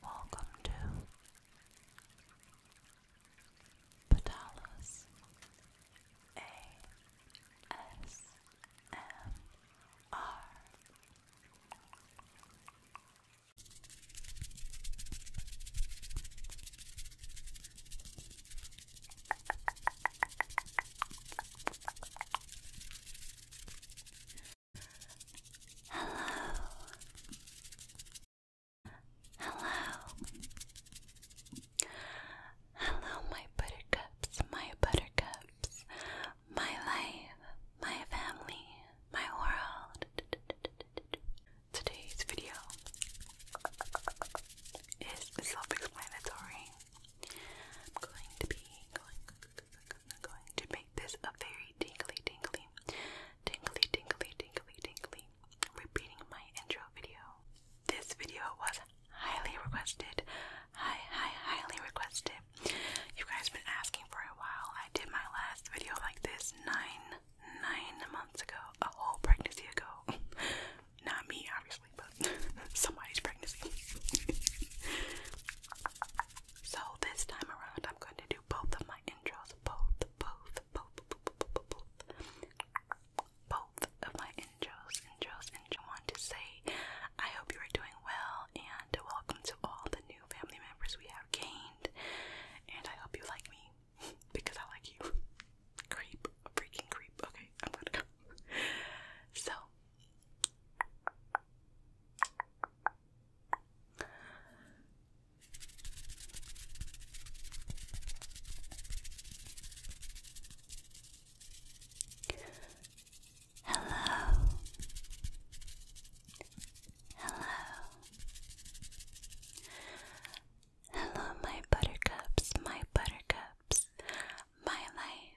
Welcome to Patalas ASMR. Hello. Hello. Hello, my buttercups, my buttercups, my life, my family, my world. Today's video is self explanatory. I'm going to be going I'm going to make this a very tingly, tingly, tingly, tingly, tingly, tingly, repeating my intro video. This video was highly requested, high, highly requested. You guys been asking for a while. I did my last video like this nine, nine months ago, a whole pregnancy ago. Not me, obviously, but somebody's pregnancy. So this time around, I'm going to do both of my intros. Both, both, both, both, both, both, both of my intros, intros, and I want to say I hope you are doing well and welcome to all the new family members we have gained. And I hope you like me because I like you. Creep, a freaking creep. Okay, I'm gonna go. So. Hello. Hello. Hello, my buttercups, my buttercups, my life,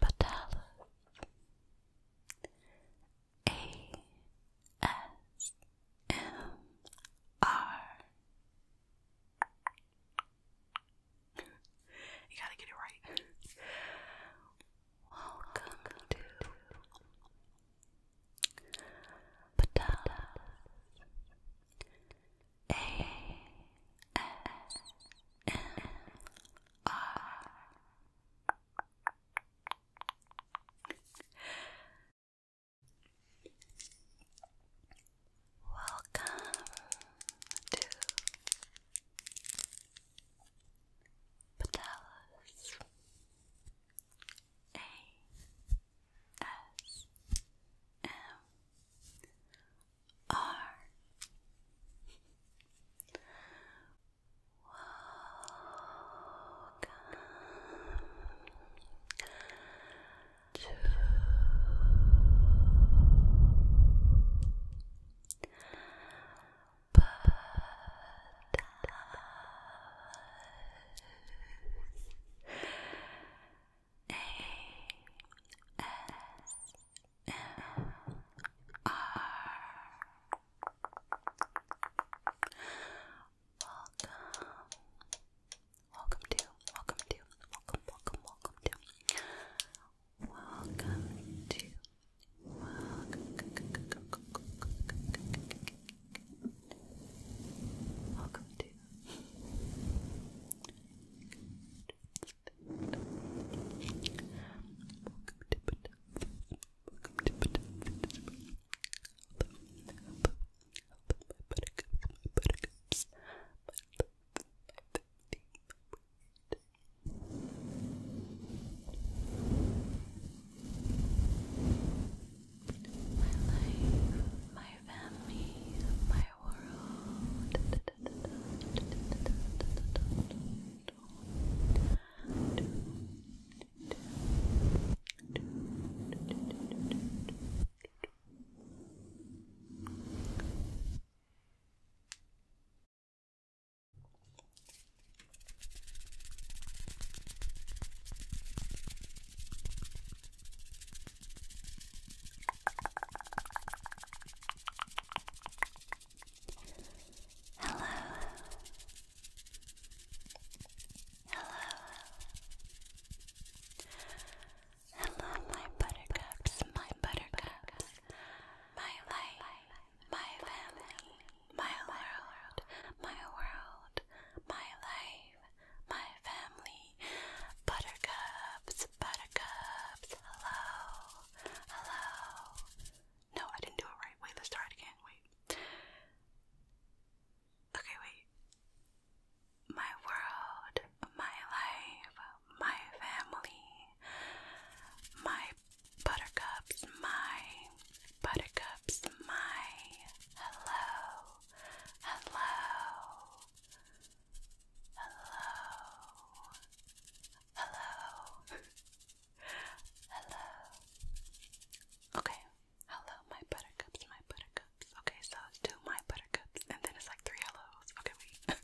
Patalas A S M R. You gotta get it right. Welcome, to Patalas Welcome to Patella's A S M R R Welcome to a S M R. Welcome, welcome to, welcome to, welcome, welcome, welcome to, welcome to, welcome. Welcome to my life, my family, my world. Hello. Hello. Hello, my buttercups, my buttercups, my life, my family, my world, my world, my life, my family, Buttercups, buttercups, hello, hello. No, I didn't do it right. Wait, let's try it again. Wait. Okay, wait. My world, my life, my family, my buttercups, my buttercups, my hello, hello, Hello. Hello. hello. Okay. Hello, my buttercups, my buttercups. Okay, so it's two my buttercups, and then it's like three hellos. Okay, wait.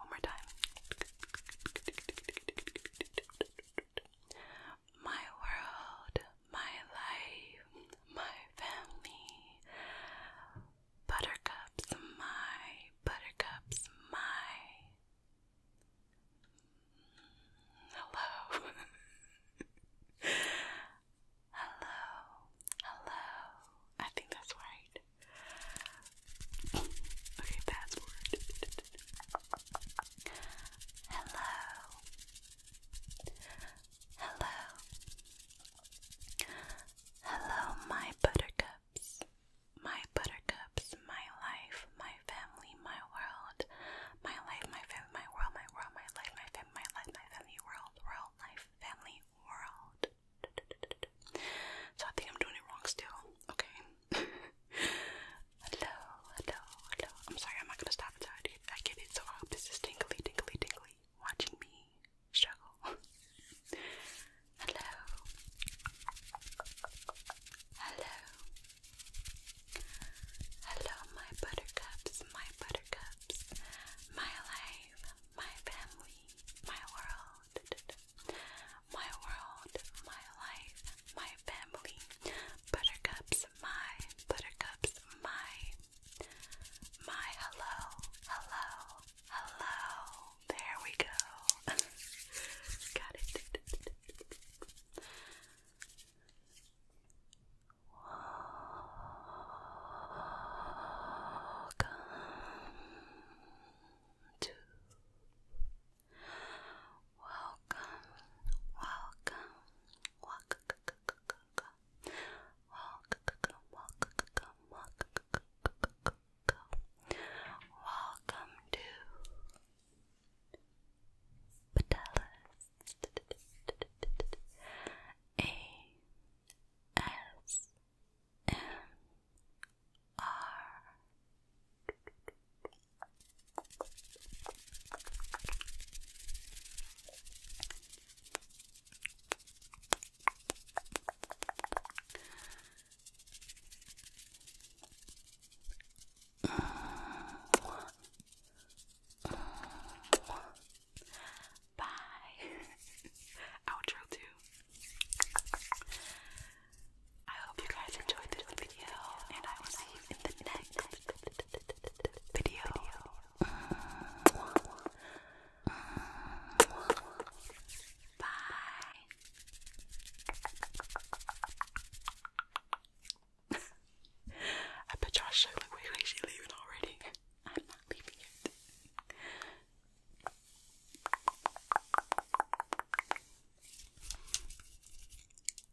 One more time. My world, my life, my family. Buttercups, my buttercups, my. Hello. hello, hello. I think that's right. okay, password. hello, Hello. Hello, my buttercups. My buttercups, my life, my family, my world. My life, my family, my world, my world, my life, my family, my life, my family, world, world, life, family, world. So I think I'm doing it wrong still. Okay. hello, hello, hello. I'm sorry, I'm not gonna stop sabotaged it. I get it. So I hope this is tingly, tingly, tingly, watching me struggle. Hello. Hello. Hello, my buttercups, my buttercups, my life, my family, my world, my world, my life, my family, buttercups, my buttercups, my, my hello, hello, hello. There we go. Got it. Welcome to welcome, welcome, welcome, Walk, walk, walk, walk, Welcome to Patella's A S M R. Bye. Outro too. I hope you guys enjoyed this video, and I will see you in the next video. Bye. I bet you I so like we're actually leaving already. I'm not leaving yet.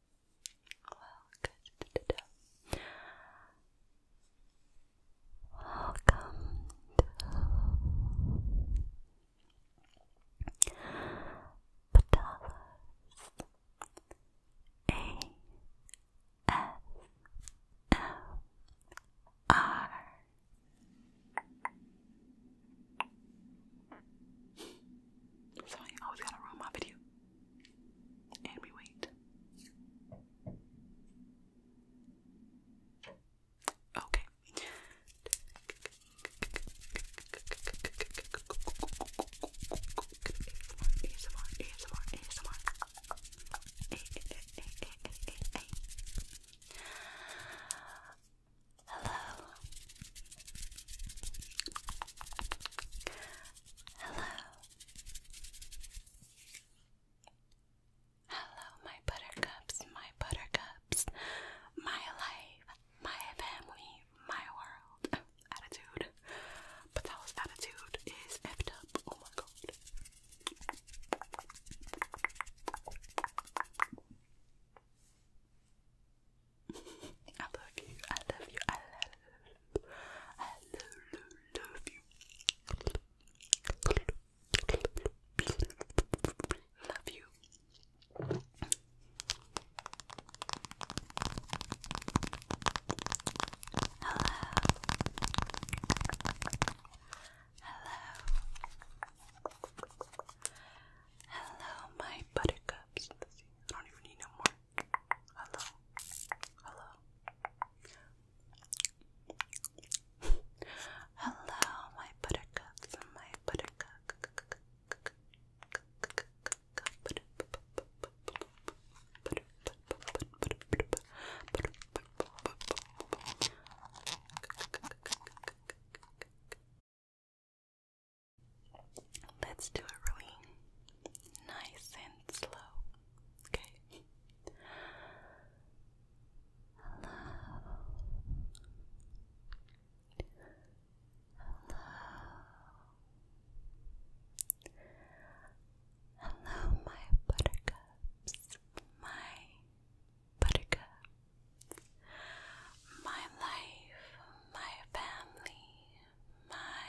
Welcome to Patalas Sorry, I was going to ruin my video. And we wait. Okay. Hello. Hello. Hello, my buttercups, my buttercups, my life, my family, my world. Attitude. But that attitude is effed up. Oh my god. I love you, I love you, I love you. I love, love, you. Love you. Hello. Hello. Hello, my buttercups. I don't even need no more Hello. Hello. Hello, my buttercups my buttercup. Let's do it really nice and slow. Okay. Hello. Hello. Hello, my buttercups. My buttercups. My life, my family, my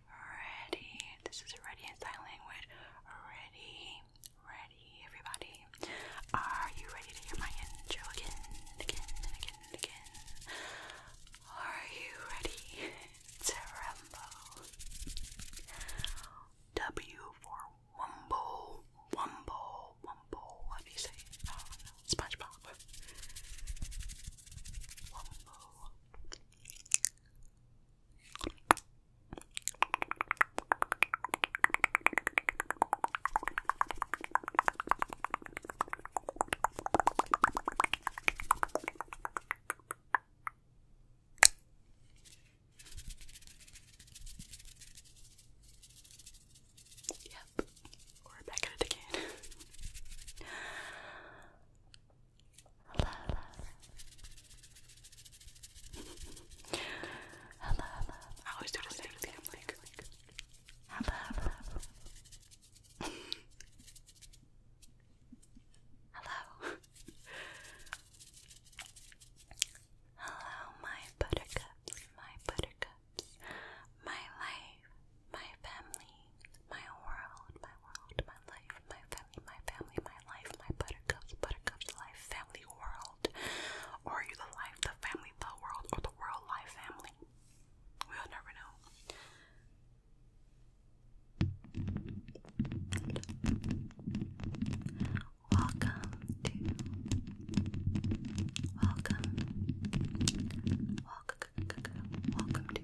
ready. This is ready in sign language. Ready, ready, everybody. Are you ready to hear my intro again again again again? Are you ready to rumble? W for Wumbo, Wumbo, Wumbo. What do you say? Uh, SpongeBob. Wumbo. Yep, we're back at it again. hello, hello. hello, hello. I am like, hello, hello. hello. hello, my buttercups, my buttercups, my life, my family, my world, my world, my life, my family, my family, my life, my buttercups, buttercups, life, family, world. are you the life, the family, the world, or the world, life, family? We'll never know. Welcome to Welcome Welcome Welcome to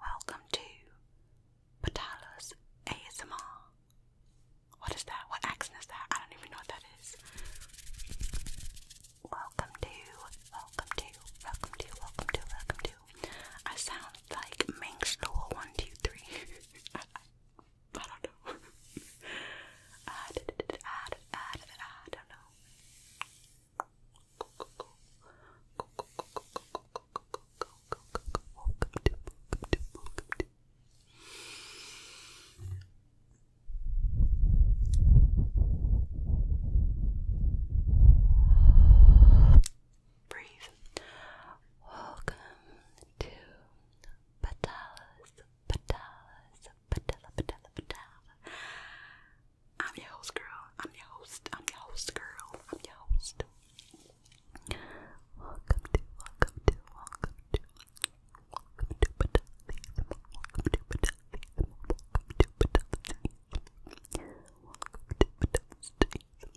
Welcome to Patala's ASMR. What is that? What accent is that? I don't even know what that is. Welcome to, welcome to, welcome to, welcome to, welcome to. I sound like Ming Store 123. I, don't know. I don't know. Breathe. Welcome to Patalas, Patalas, Patala, Patala, Patala. I'm your host, girl. I'm your host. I'm your host, girl. I'm your host. Welcome to, welcome to, welcome to, welcome to Battlefield, welcome to Battlefield, welcome to Battlefield, welcome to Battlefield,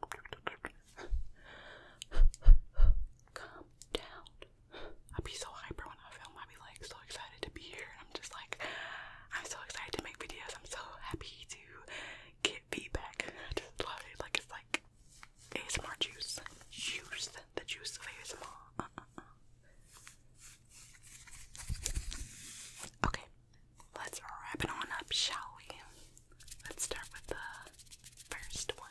welcome to Battlefield. Calm down. I'd be so hyper when I film I'll like so excited to be here. And I'm just like, I'm so excited to make videos. I'm so happy to get feedback. just love it. Like it's like ASMR juice, juice, the juice of ASMR. Uh, Okay, let's wrap it on up, shall we? Let's start with the first one.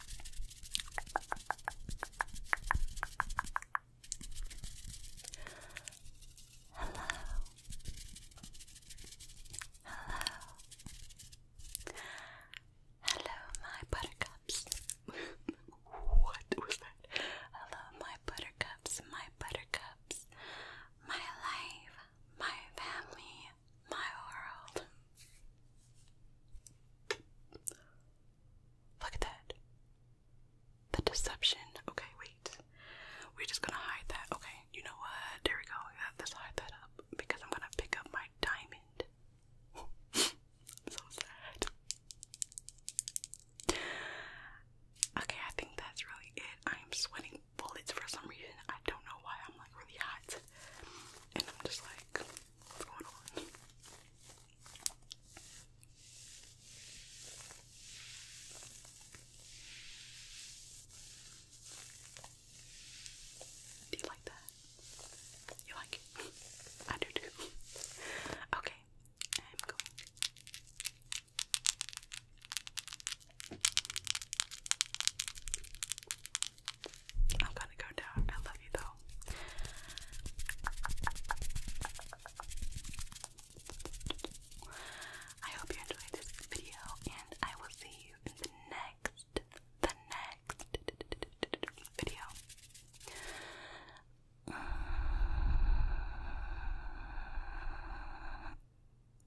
Hello. Hello. Hello, my buttercups. what was that? Hello, my buttercups, my buttercups, my life, my family, my world. Look at that. The deception. Okay, wait. We're just gonna hide that. Okay, you know what? There we go. Uh, let's hide that up because I'm gonna pick up my diamond. so sad. Okay, I think that's really it. I am sweating bullets for some reason. I don't know why I'm like really hot and I'm just like, Do you like that? You like it? I do too. Okay, I'm going. I'm gonna go down. I love you though. I hope you enjoyed this video, and I will see you in the next, the next video.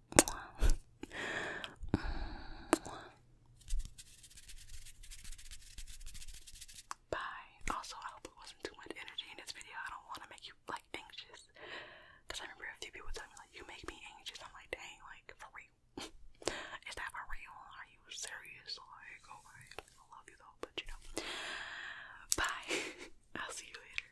Bye. Also, I hope it wasn't too much energy in this video. I don't want to make you like anxious. Cause I remember a few people telling me like, "You make me anxious." I'm like, "Dang, like Is that for real? Are you serious?" Like, oh I love you though, but you know. Bye. I'll see you later.